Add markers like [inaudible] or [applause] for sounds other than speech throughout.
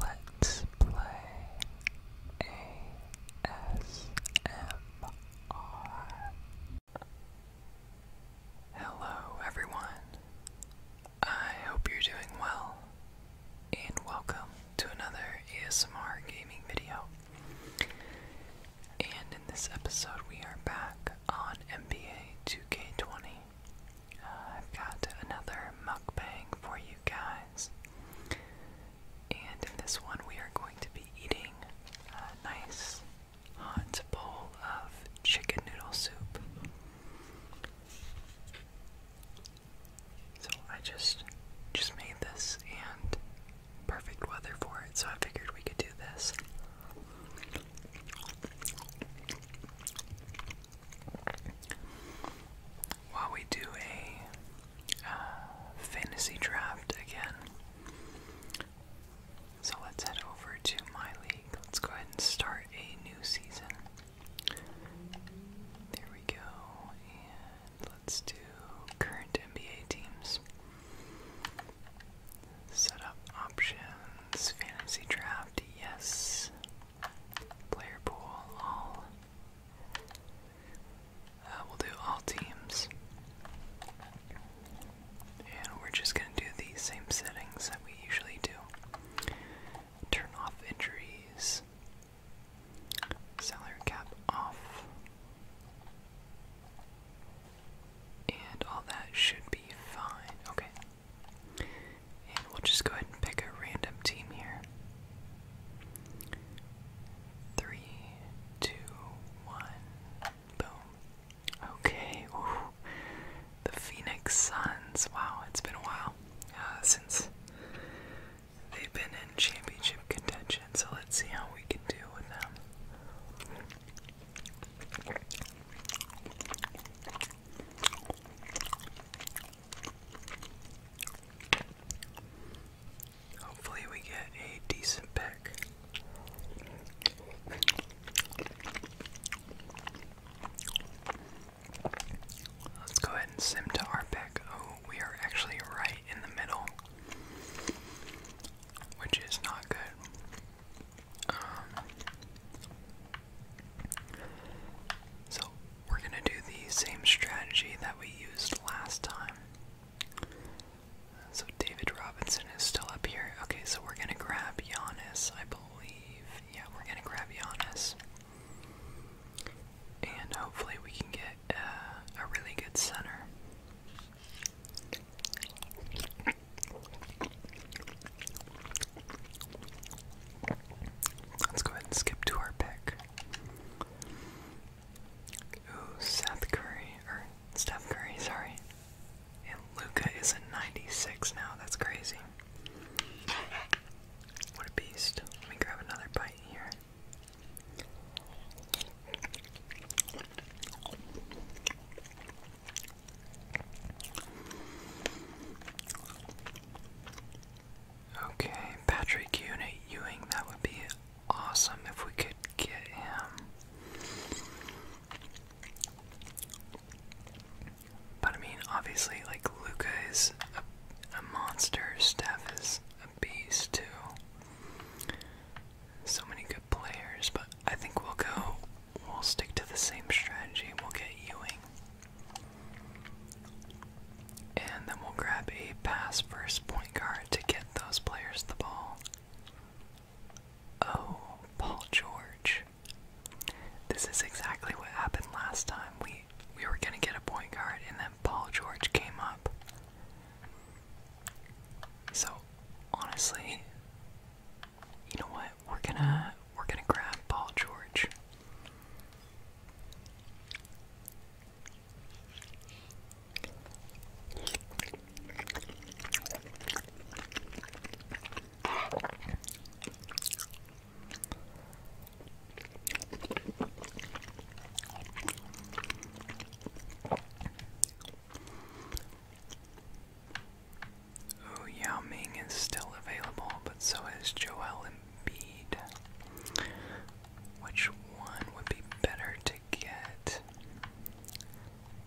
Let's play ASMR. Hello, everyone. I hope you're doing well, and welcome to another ASMR gaming video. And in this episode, we are back on NBA 2K20. I've got another mukbang for you guys. And in this one, we are going to be eating a nice hot bowl of chicken noodle soup. So I just just made this and perfect weather for it, so I figured we could do this while we do a uh, fantasy draft again. So let's head over to my league. Let's go ahead and start a new season. There we go. And let's do current NBA teams. Set up options, fantasy draft, yes. Player pool, all. Uh, we'll do all teams. And we're just going to do the same settings that we usually do. Turn off injuries. Salary cap off. And all that should be fine. Okay. And we'll just go ahead and pick a random team here. Three, two, one, boom. Okay, The Phoenix Suns. Wow, it's been a while uh, since they've been in championship contention, so let's see how we can do with them. Hopefully, we get a decent pick. Let's go ahead and sim to our pick. Oh, we are actually right in the middle, which is not good. Um, so we're going to do the same strategy that we used last time. So David Robinson is still up here. Okay, so we're going to grab Giannis, I believe. Yeah, we're going to grab Giannis. And hopefully we can get uh, a really good center. Let's go ahead and skip to our pick. Ooh, Seth Curry, or Steph Curry, sorry. And Luca is a 96 now, that's crazy. What a beast. Let me grab another bite here. Okay, Patrick Ewing, that would be awesome if we could get him. But I mean, obviously, like, Luca is a monster, Steph is a beast, too. So many good players, but I think we'll go, we'll stick to the same strategy, we'll get Ewing. And then we'll grab a pass first point guard to get those players the ball. Oh, Paul George. This is exactly what happened last time. We we were gonna get a point guard and then Paul George came up. So honestly, you know what? we're gonna we're gonna grab Paul George. Oh, Yao Ming is still available, but so is Joel Embiid. Which one would be better to get?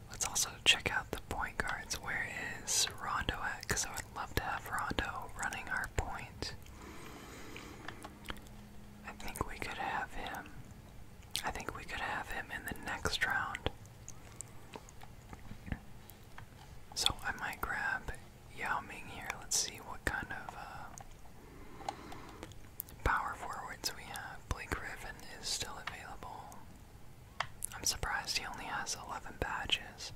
Let's also check out the point guards. Where is Rondo at? Because I would love to have Rondo running our point. I think we could have him. I think we could have him in the next round. So I might grab Yao Ming here. Let's see what kind of uh, power forwards we have. Blake Griffin is still available. I'm surprised he only has 11 badges.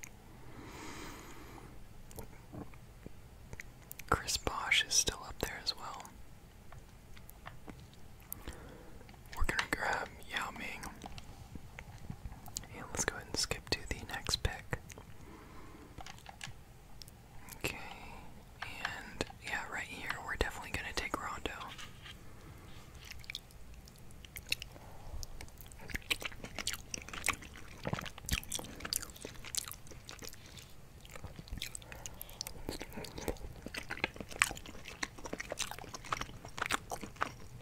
Chris Bosch is still up there as well. We're gonna grab Yao Ming. And let's go ahead and skip to the next pick. Okay, and yeah, right here, we're definitely going to take Rondo.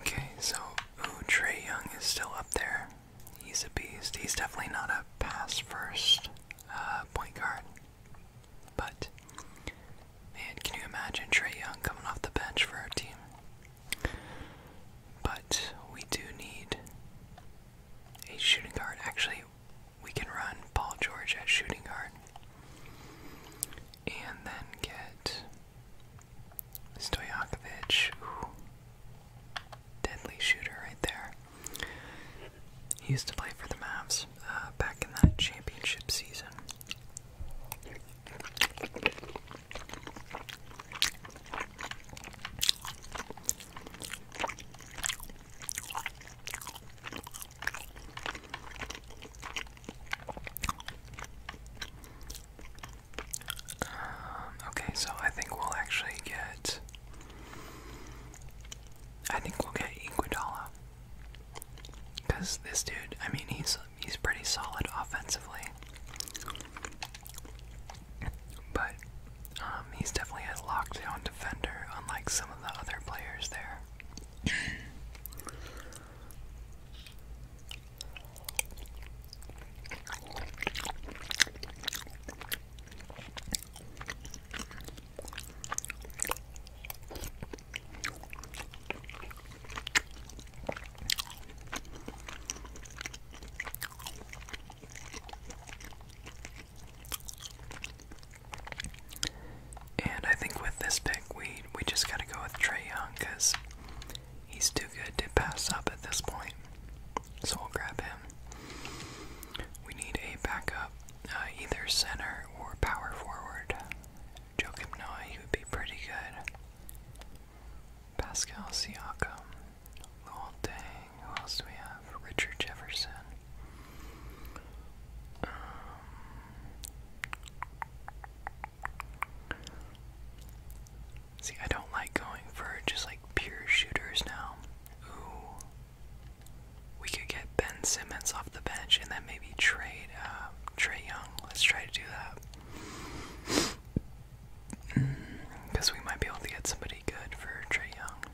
Okay, so Trey Young is still up there. He's a beast. He's definitely not a pass first uh, point guard. But man, can you imagine Trey Young coming off the bench for our team? But we do need a shooting guard. Actually, we can run Paul George at shooting guard and then get Stoyakovich, deadly shooter right there. He used to play for the Mavs uh, back in that championship season. Um, okay, so I think we'll actually get. I think we'll get Equidola, Cause this dude, I mean, he's he's pretty solid offensively, but um, he's definitely a lockdown defender, unlike some of the other players there. And I think with this pick, we we just gotta go with Trey Young because He's too good to pass up at this point, so we'll grab him. We need a backup, uh, either center or power forward. Joakim Noah, he would be pretty good. Pascal Siakam, Luol Deng, who else do we have? Richard Jefferson. Um, See, I don't like going for just like pure shooters now. Ooh. We could get Ben Simmons off the bench and then maybe trade uh, Trey Young. Let's try to do that. Because mm, we might be able to get somebody good for Trey Young.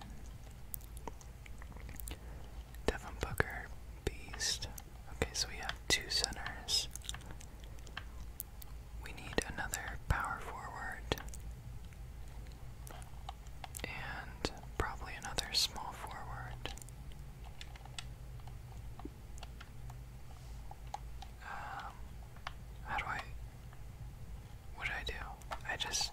Devin Booker, beast. Okay, so we have two centers. We need another power forward. And probably another small forward. Um, how do I. What do I do? I just.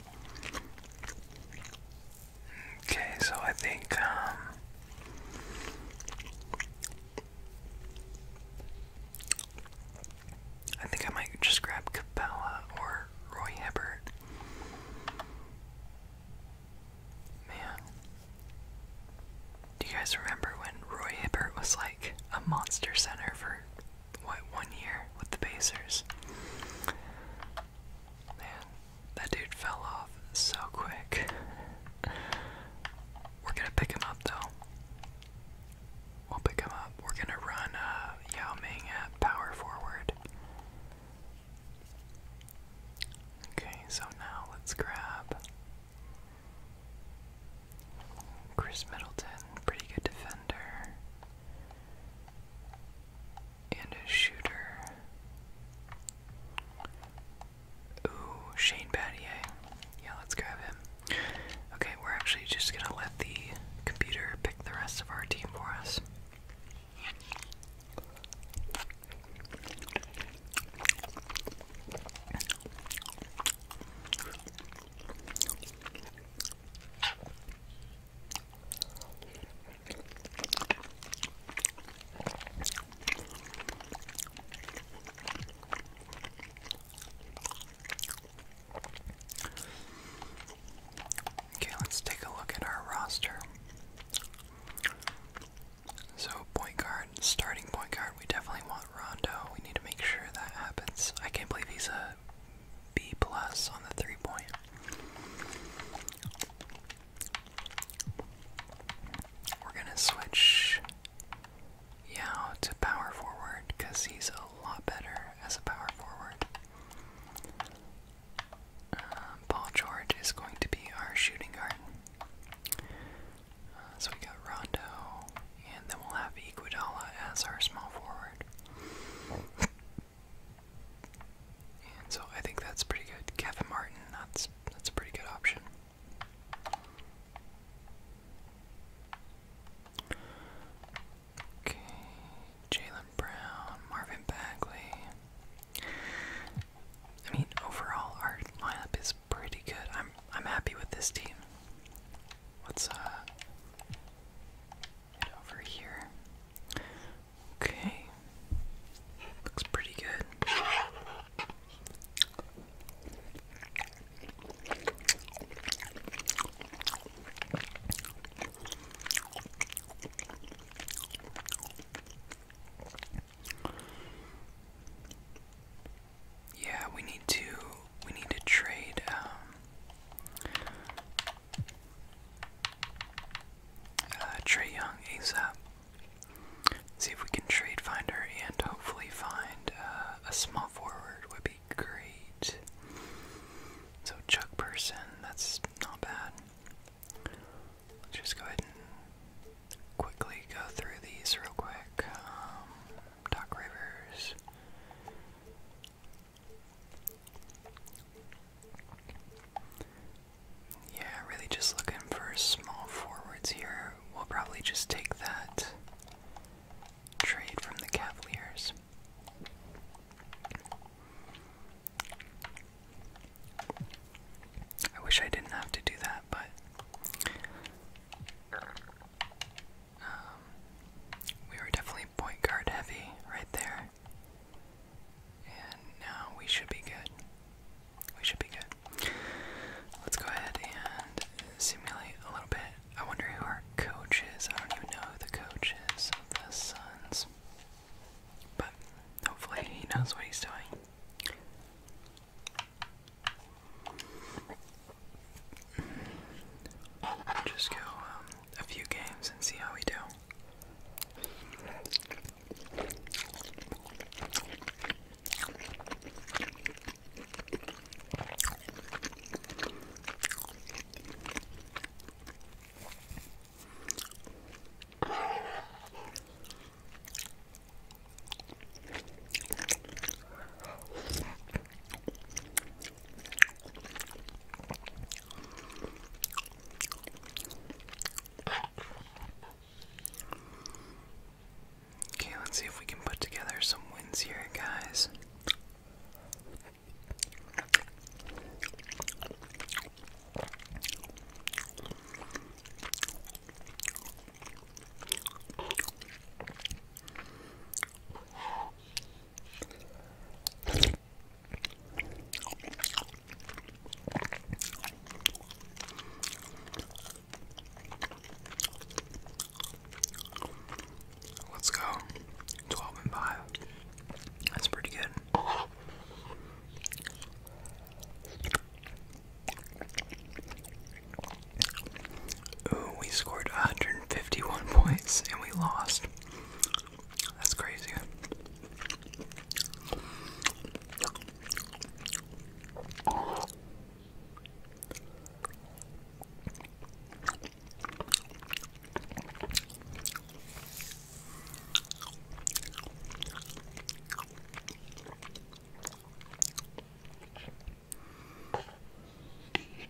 Okay, so I think um, I think I might just grab Capella or Roy Hibbert. Man. Do you guys remember when Roy Hibbert was like a monster center for what one year with the Pacers. Man, that dude fell off so quick. We're gonna pick him up though. We'll pick him up. We're gonna run uh, Yao Ming at power forward. Okay, so now let's grab Chris Middleton, pretty good defender and a shooter. Ooh, Shane Battier. Yeah, let's grab him. Okay, we're actually just gonna let the computer pick the rest of our team for us. Okay, let's take a look at our roster. So, point guard, starting point guard, we definitely want Rondo. We need to make sure that happens. I can't believe he's a B plus on the three point. We're gonna switch Yao to power forward because he's a lot better as a power forward. Um, Paul George is going to be our shooting guard. Uh, so we got Rondo, and then we'll have Iguodala as our small forward so I think that's pretty good. Kevin Martin, that's that's a pretty good option. Okay, Jalen Brown, Marvin Bagley. I mean, overall, our lineup is pretty good. I'm I'm happy with this team. let uh, over here. Okay. Looks pretty good. Yeah, we need to we need to trade um, uh, trade Young ASAP. See if we can trade finder and hopefully find uh, a small forward would be great. So Chuck Person, that's not bad. Let's just go ahead and quickly go through these real quick. Um, Doc Rivers. Yeah, really just looking for small forwards here. We'll probably just take that trade from the Cavaliers. I wish I didn't have to do that, but um, we were definitely point guard heavy right there. And now we should be good. We should be good. Let's go ahead and simulate a little bit. I wonder who our coach is. I don't even know the coach of the Suns. But hopefully he knows what he's doing. Just go um, a few games and see how we do. Okay, let's see if we can put together some wins here, guys. Let's go. 12 and 5. That's pretty good. we scored 151 points and we lost. That's crazy.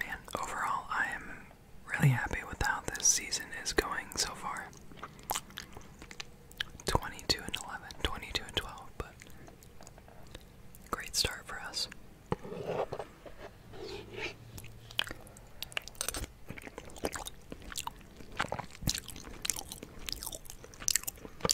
Man, overall, I am really happy with how this season is going so far. 22 and 11, 22 and 12, but great start for us.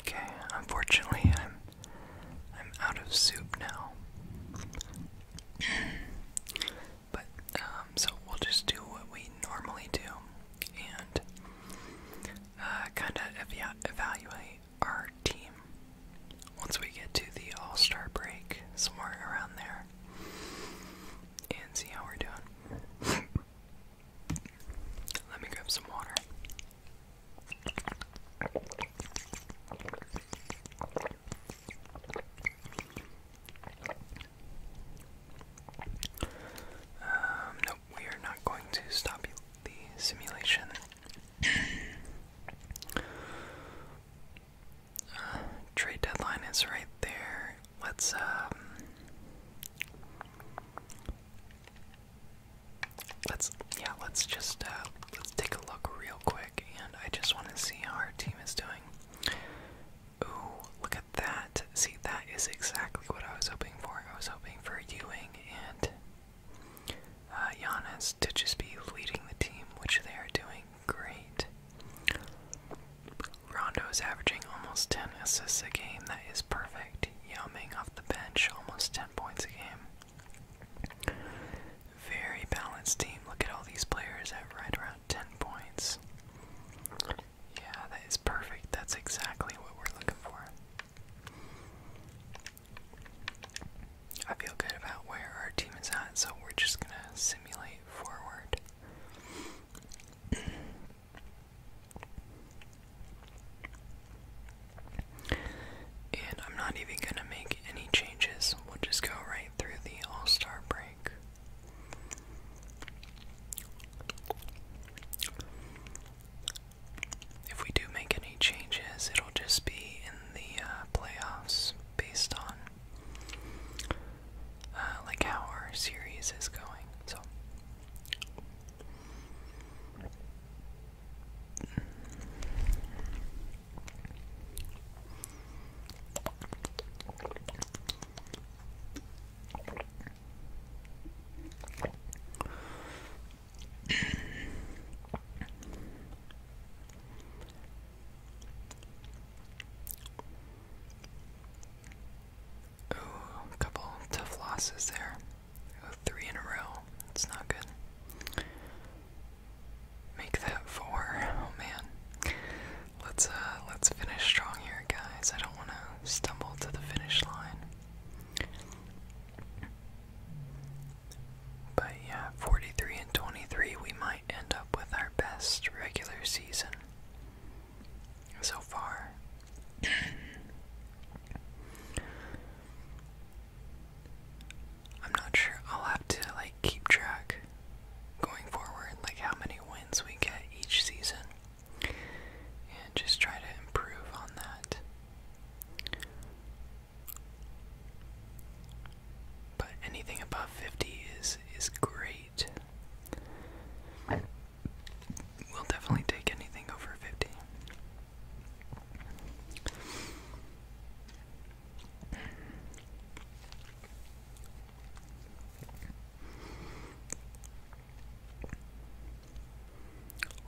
Okay, unfortunately I'm I'm out of soup now. but um, so we'll just do what we normally do and uh, kind of ev evaluate our team once we get to the All-Star break somewhere around there and see how we're doing. Let me grab some water. Um, we are not going to stop the simulation trade deadline is right there. Let's um let's yeah, let's just uh let's take a look real quick and I just want to see how our team is doing. Ooh, look at that. See that is exactly what I was hoping for. I was hoping for Ewing and uh Giannis to just be leading the team, which they are doing great. Rondo is averaging almost 10 assists a game. That is perfect. Yao Ming off the bench, almost 10 points a game. Very balanced team. Look at all these players at right around 10 points. Yeah, that is perfect. That's exactly what we're looking for. I feel good about where our team is at, so we're just gonna simulate forward. And I'm not even going to make any changes. We'll just go right through the All Star break. If we do make any changes, it'll just be in the uh, playoffs based on uh, like how our series is going. So, Ooh, a couple tough losses there. Ooh, in a row. It's not good. Make that four. Oh man. Let's uh let's finish strong here, guys. I don't wanna stumble to the finish line. But yeah, 43 and 23, we might end up with our best regular season so far. I'm not sure. I'll have to like keep track going forward, like how many wins we get each season, and just try to improve on that. But anything above 50 is is great we We'll definitely take anything over fifty.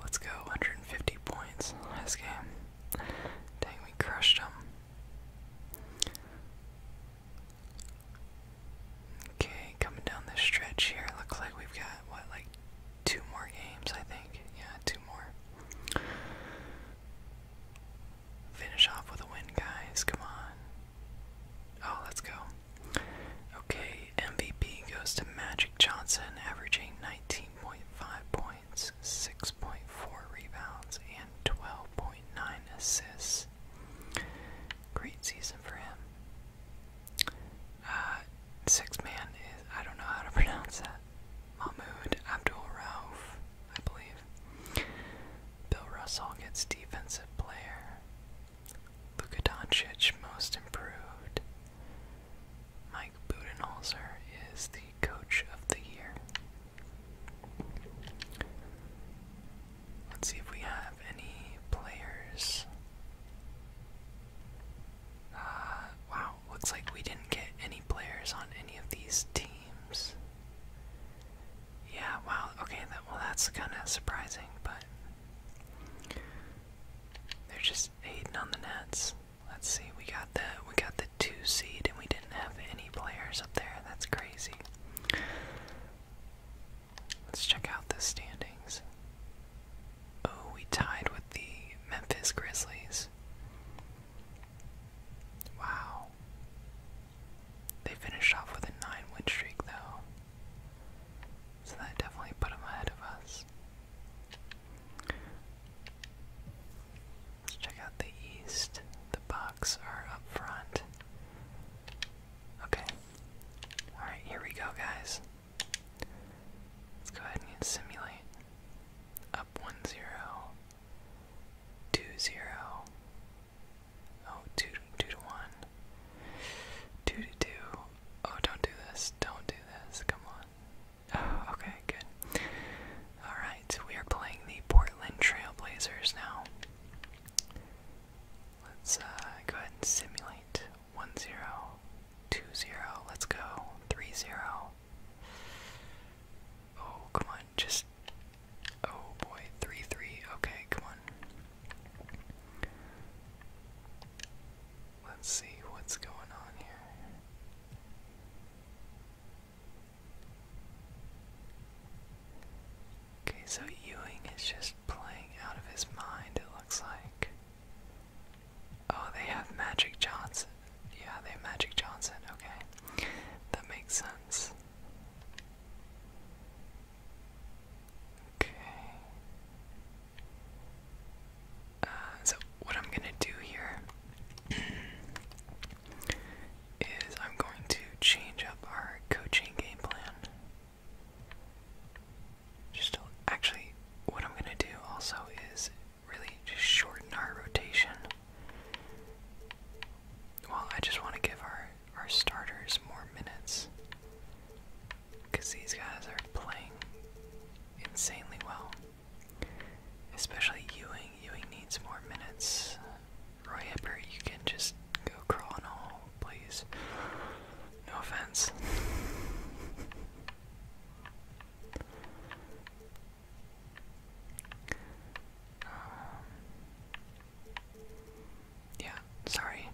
Let's go, 150 points this game. Dang, we crushed them. Okay, coming down this stretch here, looks like we've got, what, like two more games, I think. Yeah, two more. Finish off with a win, guys. Come on. Oh, let's go. Okay, MVP goes to Magic Johnson, averaging 19.5 points, 6.4 rebounds, and 12.9 assists. Great season for him. Uh, six man is, I don't know how to [laughs] pronounce that. Mahmoud Abdul Rauf, I believe. Bill Russell gets defensive player. Luka Doncic, most improved. Mike Budenholzer is the coach of the year. Let's see if we have any players. Uh, wow, looks like we didn't get any players on any of these teams. Yeah, wow, okay, well, that's kind of surprising, but they're just hating on the Nets. Let's see, we got the we got the two seed, and we didn't have any players up there. That's crazy. Let's check out the standings. Oh, we tied with the Memphis Grizzlies. Wow. They finished off with a 9 win streak, though. So that definitely put them ahead of us. Let's check out the East. The Bucks are up front Okay. Alright, here we go, guys. Let's go ahead and simulate. Up 1 0, 2 0, oh, oh don't do this, don't do this, come on. Oh, okay, good. Alright, we are playing the Portland Trailblazers now. Let's uh, go ahead and simulate 1 0, 2 0, let's go, 3 0. Oh, come on, just. Oh boy, 3 3, okay, come on. Let's see what's going on here. Okay, so Ewing is just playing out of his mind, it looks like. Oh, they have Magic Johnson. Yeah, they have Magic Johnson, okay. That makes sense. Okay. Uh, so, what I'm gonna do here [clears throat] is I'm going to change up our coaching game plan. Just actually, what I'm going to do also is really just shorten our rotation. Well, I just want to give our our starters more minutes because these guys are playing insanely well. Especially Ewing. Ewing needs more minutes. Roy Hibbert, you can just go crawl in a hole, please. No offense. Um, yeah, sorry.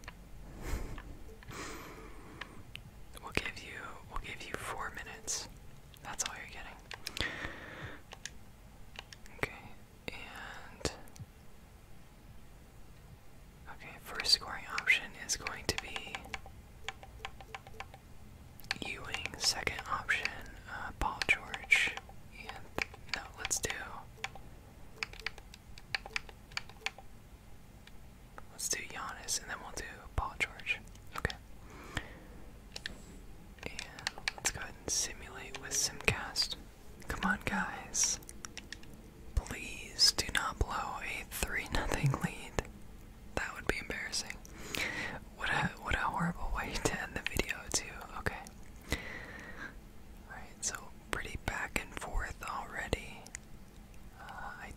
we'll give you we'll give you four minutes. That's all you're getting. Okay, okay, first scoring option is going to be Ewing. Second option, uh, Paul George. And no, let's do. Let's do Giannis, and then we'll do Paul George. Okay. And let's go and simulate with Simcast. Come on, guys. Please do not blow a 3 nothing lead. That would be embarrassing. What a what a horrible way [laughs] to end the video too. Okay. Alright, so pretty back and forth already. Uh, I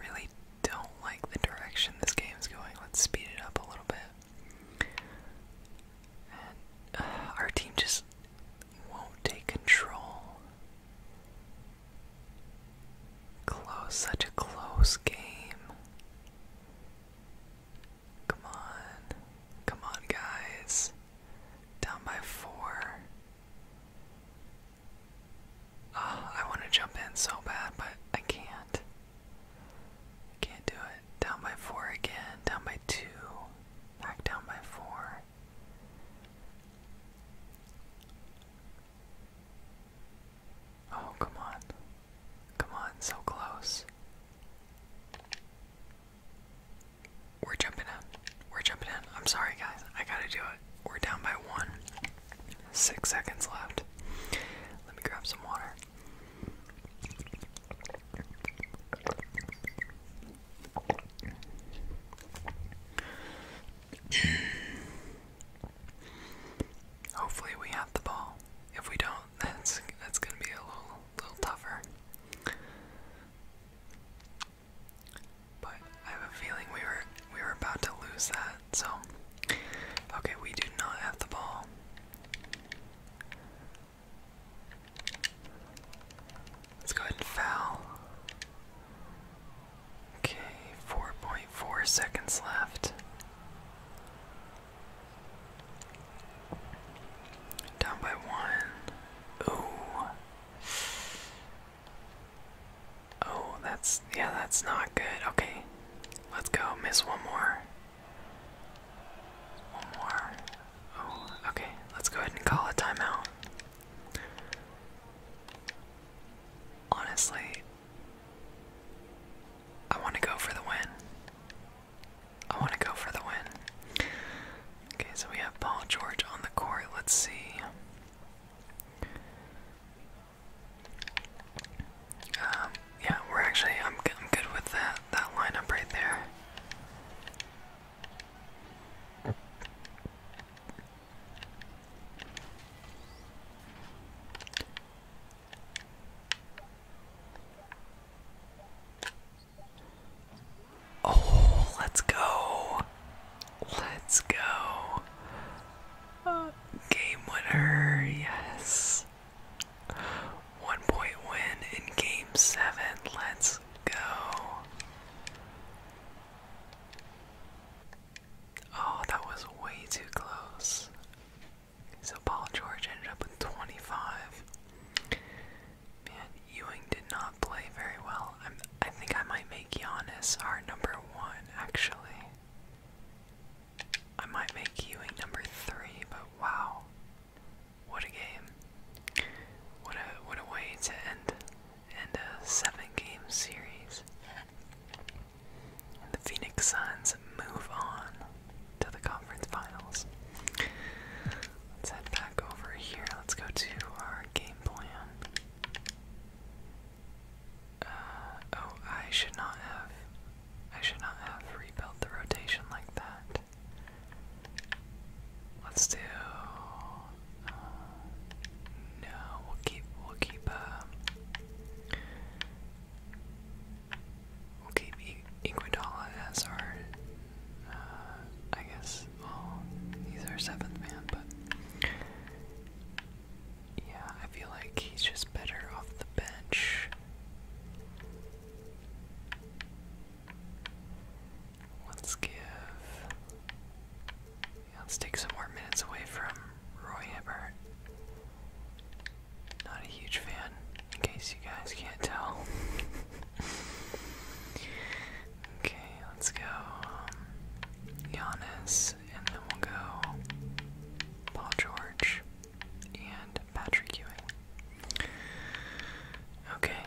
really don't like the direction this game's going. Let's speed it up a little bit. Uh, our team just won't take control. Close, such a close game. Come on. Come on, guys. Down by four. Ah, I want to jump in so bad, but I can't. Can't do it. Down by four again. Down by two. Back down by four. Oh, come on. Come on, so close. We're jumping in. We're jumping in. I'm sorry, guys. I gotta do it. We're down by one. Six seconds left. Let me grab some water. Hopefully we have the ball. If we don't, [laughs] that's that's gonna be a little little tougher. But I have a feeling we were we were about to lose that, so okay, we do not have the ball. Let's go ahead and foul. Okay, 4.4 seconds left. Down by one. Ooh. Oh, that's, yeah, that's not good. Okay, let's go. Miss one more. One more. Oh, okay. Let's go ahead and call a timeout. Honestly, I want to go for the win. I want to go for the win. Okay, so we have Paul George on the court. Let's see. Um, yeah, we're actually, I'm, I'm good with that, that lineup right there. Oh, let's go. Let's go. game winner, yes. One point win in game seven. Let's go. Oh, that was way too close. So Paul George ended up with 25. Man, Ewing did not play very well. I'm, I think I might make Giannis our number one, actually. I might make Ewing number three, but wow. What a game. What a what a way to end end a seven game series. And the Phoenix Suns move on to the conference finals. Let's head back over here. Let's go to our game plan. Uh, oh, I should not have. I should not have rebuilt the rotation like that. Let's do. Uh, no, we'll keep. We'll keep. Uh, we'll keep Iguodala as our. Uh, I guess. Well, he's our seventh man, but yeah, I feel like he's just better off the bench. Let's give. let's take some more minutes away from Roy Hibbert. Not a huge fan, in case you guys can't tell. [laughs] okay, let's go um, Giannis, and then we'll go Paul George and Patrick Ewing. Okay.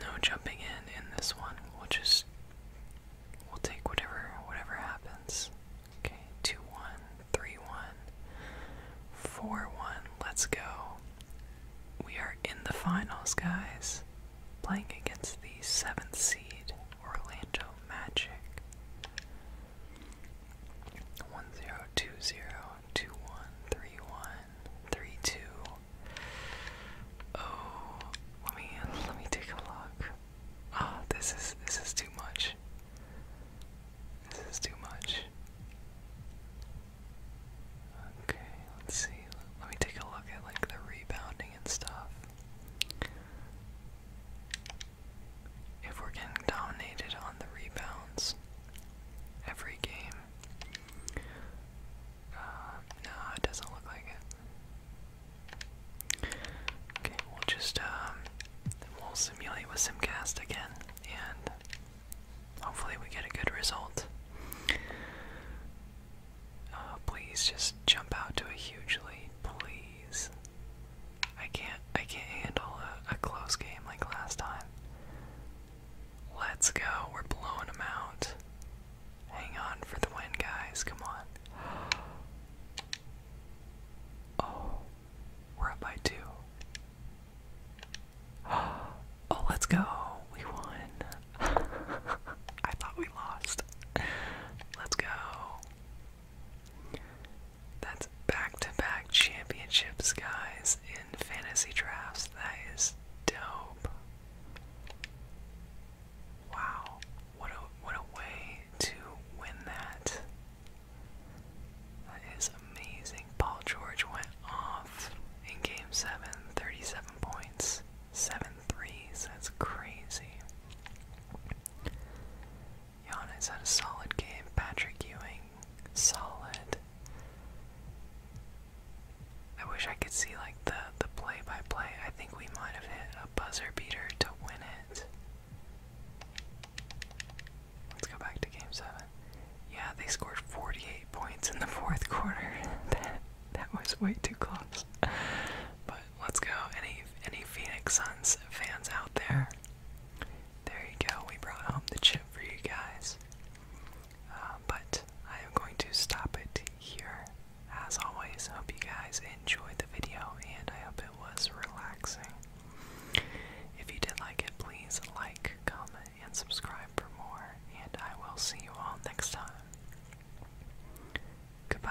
No jumping in in this one. We'll just we'll take whatever whatever happens. Okay, 2 Let's go. We are in the finals, guys. Playing against the seventh seed Orlando Magic one zero two zero two one three one three two. Oh, let me let me take a look. Ah, this is this is too much. This is too much. Okay, let's see. Let me take a look at like the rebounding and stuff if we're getting dominated on the rebounds every game. Uh, no, it doesn't look like it. Okay, we'll just, um, we'll simulate with Simcast again, and hopefully we get a good result. Uh, please just jump out to a huge lead, please. I can't I can't handle a, a close game like last time. Let's go. We're blowing them out. Hang on for the win, guys. Come on. [gasps] Oh. We're up by two. [gasps] Oh, let's go. We won. [laughs] I thought we lost. [laughs] Let's go. That's back to back championships, guys, in fantasy drafts. That is dope. Wow. What a what a way to win that. That is amazing. Paul George went off in game seven, 37 points, seven threes. That's crazy. Giannis had a solid game. Patrick Ewing, solid. I wish I could see like the the play by play. I think we might have hit a buzzer beater to win it. Let's go back to game seven. Yeah, they scored 48 points in the fourth quarter. [laughs] that that was way too close. But let's go. Any any Phoenix Suns fans out there? There you go, we brought home the chip for you guys. Uh, but I am going to stop it here. As always, hope you guys enjoyed the video and I hope it was relaxing. If you did like it, please like, comment, and subscribe for more, and I will see you all next time. Goodbye.